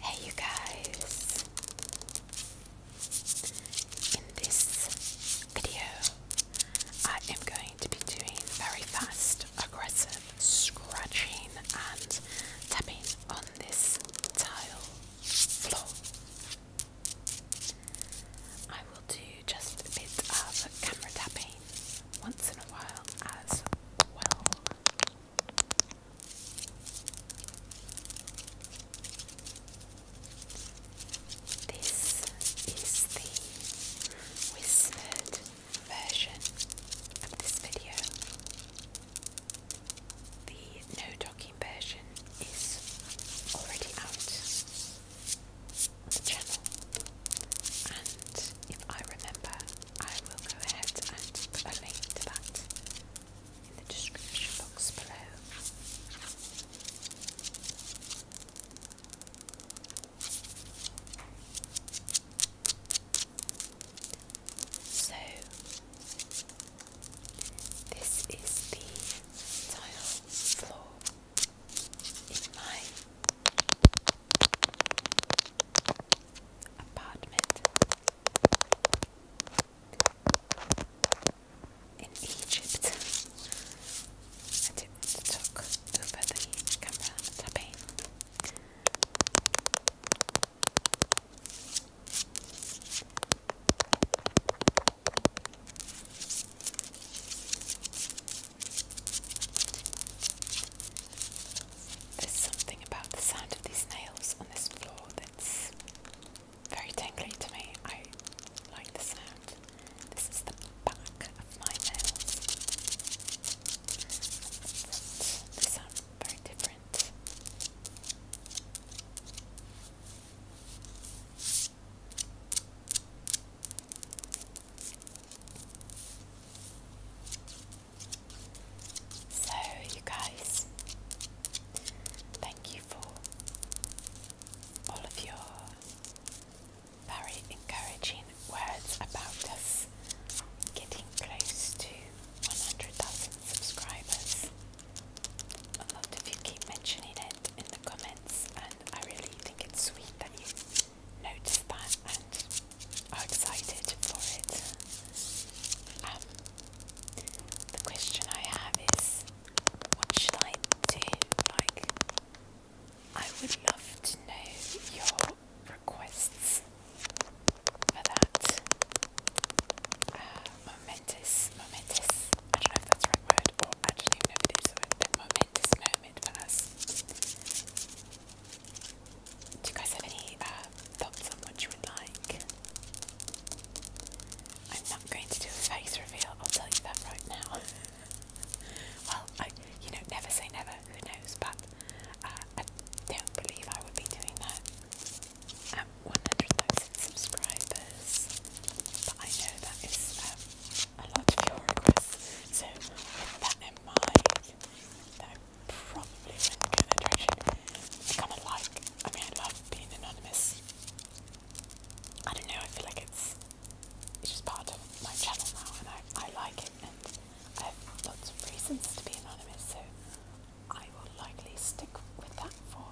Hey, you guys! In this video, I am going to be doing very fast, aggressive scratching and tapping on this tile floor. I will do just a bit of camera tapping once in a while as well. This is the whispered version of this video. The no talking version is already out the channel. And if I remember, I will go ahead and put a link to that in the description box below. So, this is the tile floor in my apartment. In Egypt, I didn't over the camera tapping. There's something about the sound of these nails on this floor that's very tingly to me. I like the sound. This is the back of my nails. They sound very different. So, you guys, thank you for all of your very encouraging words about us getting close to 100,000 subscribers. A lot of you keep mentioning it in the comments, and I really think it's sweet that you noticed that and are excited for it. Um, the question I have is, what should I do? Like, I would love to know your requests for that uh, momentous, momentous, I don't know if that's the right word, or I don't even know if the momentous moment for do you guys have any uh, thoughts on what you would like? I'm not going to do a face reveal, I'll tell you that right now. well, I, you know, never say never, who knows, but uh, I don't believe I would be doing that at 100,000 subscribers. But I know that is um, a lot of your requests, so with that in mind, that I probably wouldn't go in that direction. I kind of like, I mean, I love being anonymous. I don't know, I feel like it's it's just part of my channel now and I, I like it and I have lots of reasons to be anonymous so I will likely stick with that for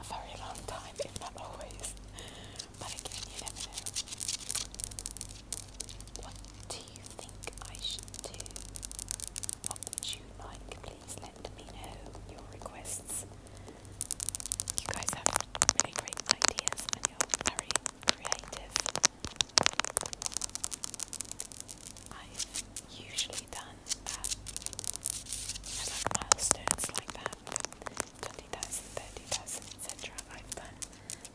a very long time if not always but again you never know what do you think I should do? What would you like? Please let me know your requests. You guys have really great ideas and you're very creative. I've usually done um, I milestones like that 20,000, etc. I've done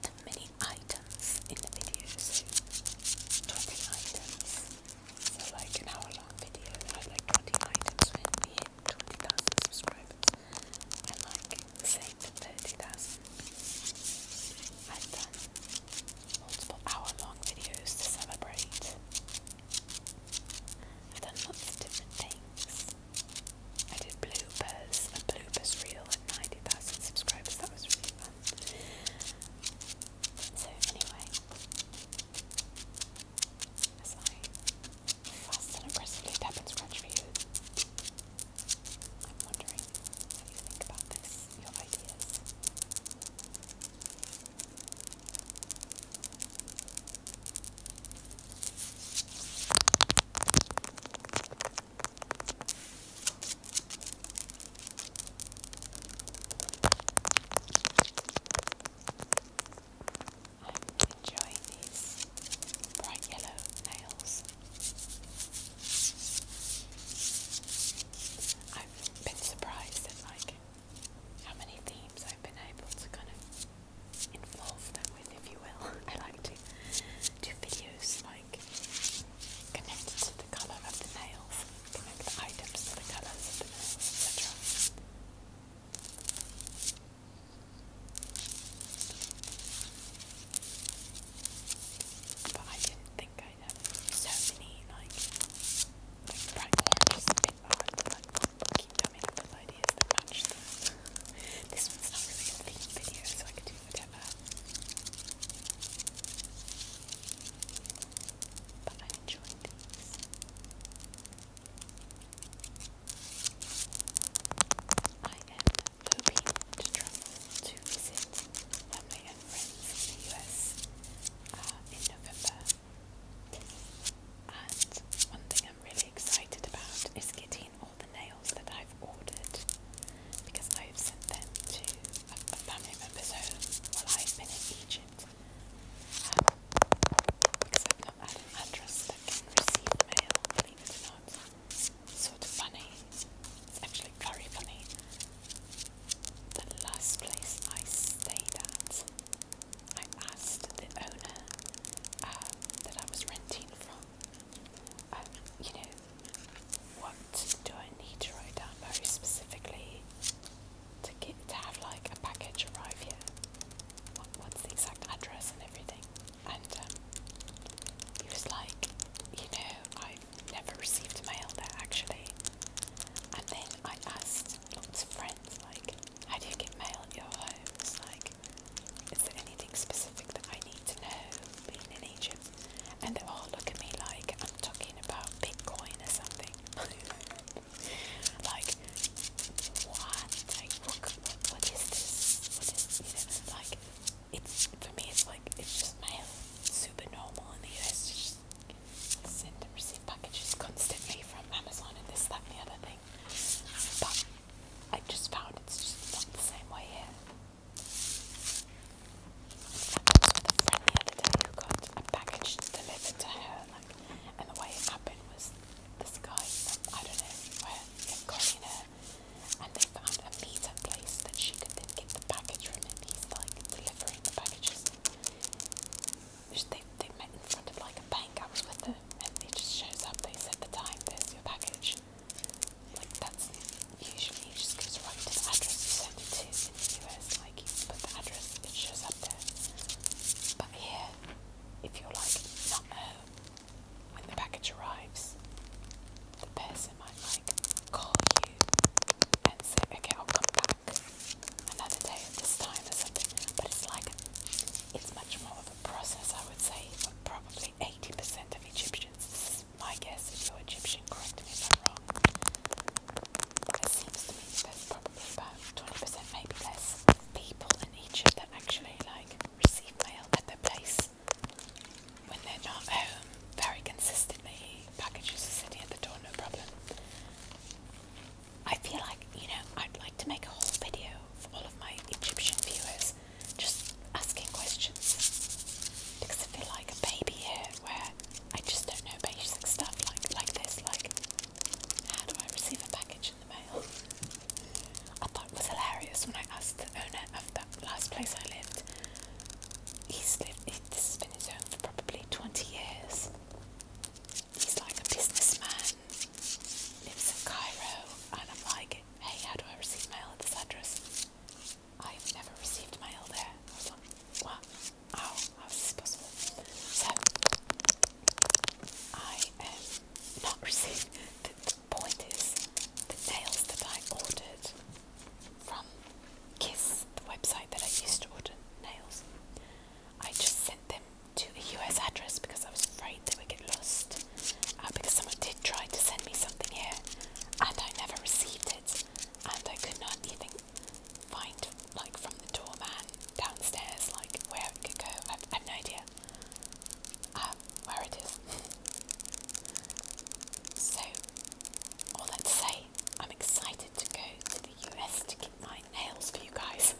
the items in the video, you 20 items. like an hour long video, I like 20 items 20,000 subscribers. And like say to 30,000. I've done multiple hour long videos to celebrate. I've done lots of different things. I did bloopers, a bloopers reel at 90,000 subscribers, that was really them. So anyway, as fast and aggressively tap and scratch for you, I'm wondering what you think about this, your ideas. I'm enjoying these bright yellow nails. I've been surprised at like how many themes I've been able to kind of involve them with, if you will. I like to do videos like like connected to the colour of the nails, connect the items to the colours of the nails, etc. But I didn't think I'd have so many like like practice bit art that I keep coming up ideas this one's not really a theme video, so I could do what but I enjoy these. I am hoping to travel to visit family and friends in the US uh, in November. And one thing I'm really excited about is getting all the the nails that I've ordered because I've sent them to a, a family member's home while I've been in Egypt. Um, because I've not had an address that can receive mail, believe it or not. It's sort of funny. It's actually very funny. The last place I stayed at, I asked the owner um, that I was renting from, um, you know, what do I need to write down very specifically to get to have like a package arrive here? What, what's the exact address and everything? And um, he was like, you know, I've never received mail there actually. And then I asked lots of friends, like, how do you get mail at your home? It's like, is there anything specific that I need to know being in Egypt? and they all look at me like I'm talking about Bitcoin or something. like, what? Like, look, what is this? What is, you know, like, it's, for me, it's like, it's just mail. Super normal in the US. send and receive packages constantly from Amazon and this, that, and the other thing. But I just found it's just not the same way here friend the other day who got a package delivered to her, like, and the way it happened was this guy, I don't know where, in Korea, and they found a meetup place that she could then get the package from, and he's like delivering the packages. They, they met in front of like a bank, I was with them, and it just shows up, they said the time, there's your package. Like that's usually it just goes right to the address you sent it to in the US. Like you put the address, it shows up there. But here, if you're like not home uh, when the package arrives, the person might like call you and say, "Okay, I'll come back another day at this time or something." But it's like it's much more of a process, I would say, but probably 80% of Egyptians. This is my guess. If you're Egyptian, correct me if I'm wrong. It seems to me that probably about 20%, maybe less, people in Egypt that actually like receive mail at their place when they're not home. Um, very consistently, packages are sitting at the door, no problem. I feel like, you know, I'd like to make a whole video for all of my Egyptian viewers just asking questions because I feel like a baby here where I just don't know basic stuff like like this, like how do I receive a package in the mail? I thought it was hilarious when I asked the owner of that last place I lived. He's lived he, this has been his home for probably twenty years. He's like a businessman, lives in Cairo, and I'm like, hey, how do I receive mail at this address? I have never received mail there. what? How? How is this possible? So, I um, not received. The, point is, the nails that I ordered from Kiss, the website that I used to order nails, I just sent them to a US address because I was afraid they would get lost. Uh, because someone did try to send me something here and I never received it and I could not even find, like, from the doorman downstairs, like, where it could go. I've, no idea um, where it is. so, all that to say, I'm excited to go to the US to get my nails for you guys.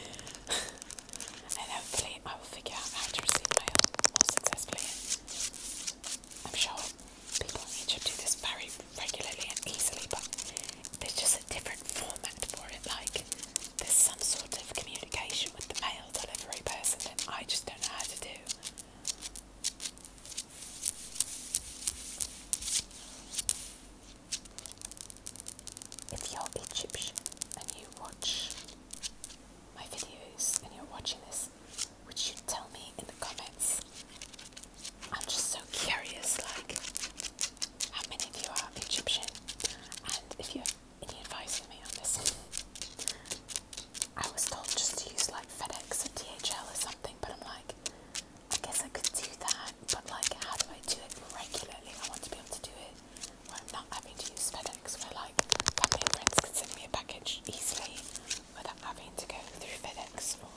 and hopefully I will figure out how to receive my mail more successfully I'm sure people in Egypt do this very regularly and easily, but there's just a different format for it. Like there's some sort of communication with the mail delivery person that I just don't know how to do. If you're Egyptian and you watch my videos and you're watching this, which you tell me in the comments. I'm just so curious, like, how many of you are Egyptian, and if you have any advice for me on this. I was told just to use like FedEx or DHL or something, but I'm like, I guess I could do that, but like, how do I do it regularly? I want to be able to do it where I'm not having to use FedEx, where like family and friends can send me a package easily, without having to go through FedEx or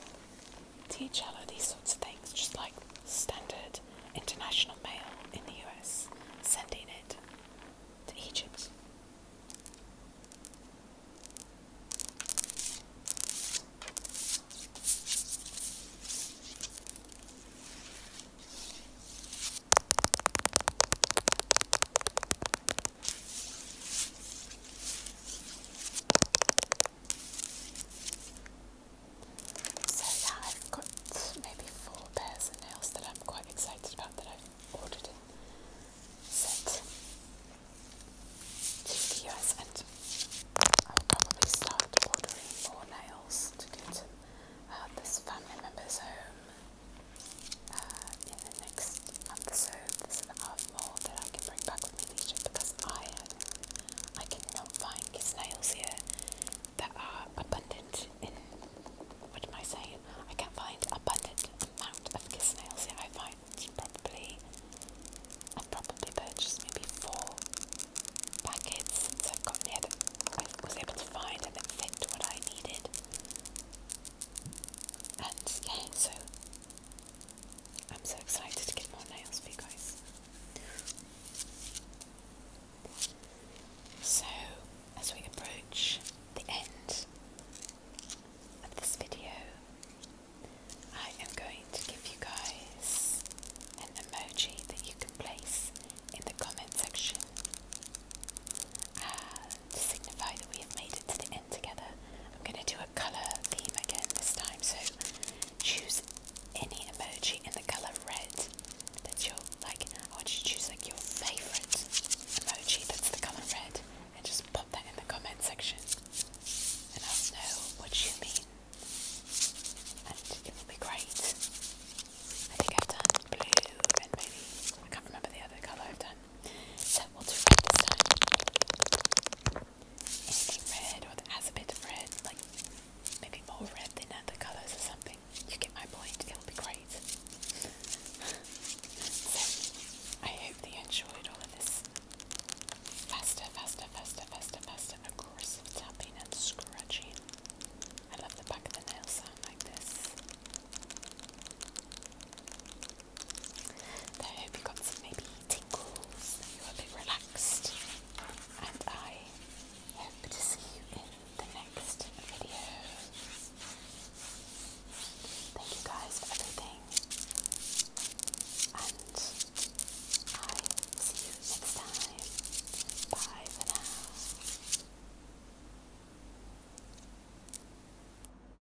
DHL or these sorts of things, just like standard international mail in the US, sending it to Egypt. So yeah, I've got maybe four pairs of nails that I'm quite excited about that I've ordered and sent the US and I'll probably start ordering more nails to uh, this family member's home uh, in the next month There's an art more that I can bring back with me to because I uh, I cannot find his here that are abundant in what am I saying? I can find abundant amount of kiss here. I find probably I probably purchased maybe four packets since I've gotten here that I was able to find and that fit what I needed. And yeah, so I'm so excited to get more nails for you guys. So, as we approach the end of this video, I am going to give you guys an emoji that you can place in the comment section to signify that we have made it to the end together. I'm going to do a colour theme again this time, so choose any emoji in the colour red. That's your, like, I want you to choose, like, your favourite emoji that's the colour red, and just pop that in the comment section, and I'll know what you mean, and it will be great. I think I've done blue and maybe, I can't remember the other colour I've done. So we'll do red this time. Anything red or that has a bit of red, like maybe more red than other colours or something. You get my point, it'll be great. so I hope that enjoyed all of this. Faster, faster, faster, faster, faster, aggressive tapping and scratching. I love the back of the nail sound like this. I hope you got some maybe tingles, you're a bit relaxed, and I hope to see you in the next video. Thank you guys for everything, and I see you next time. Bye for now.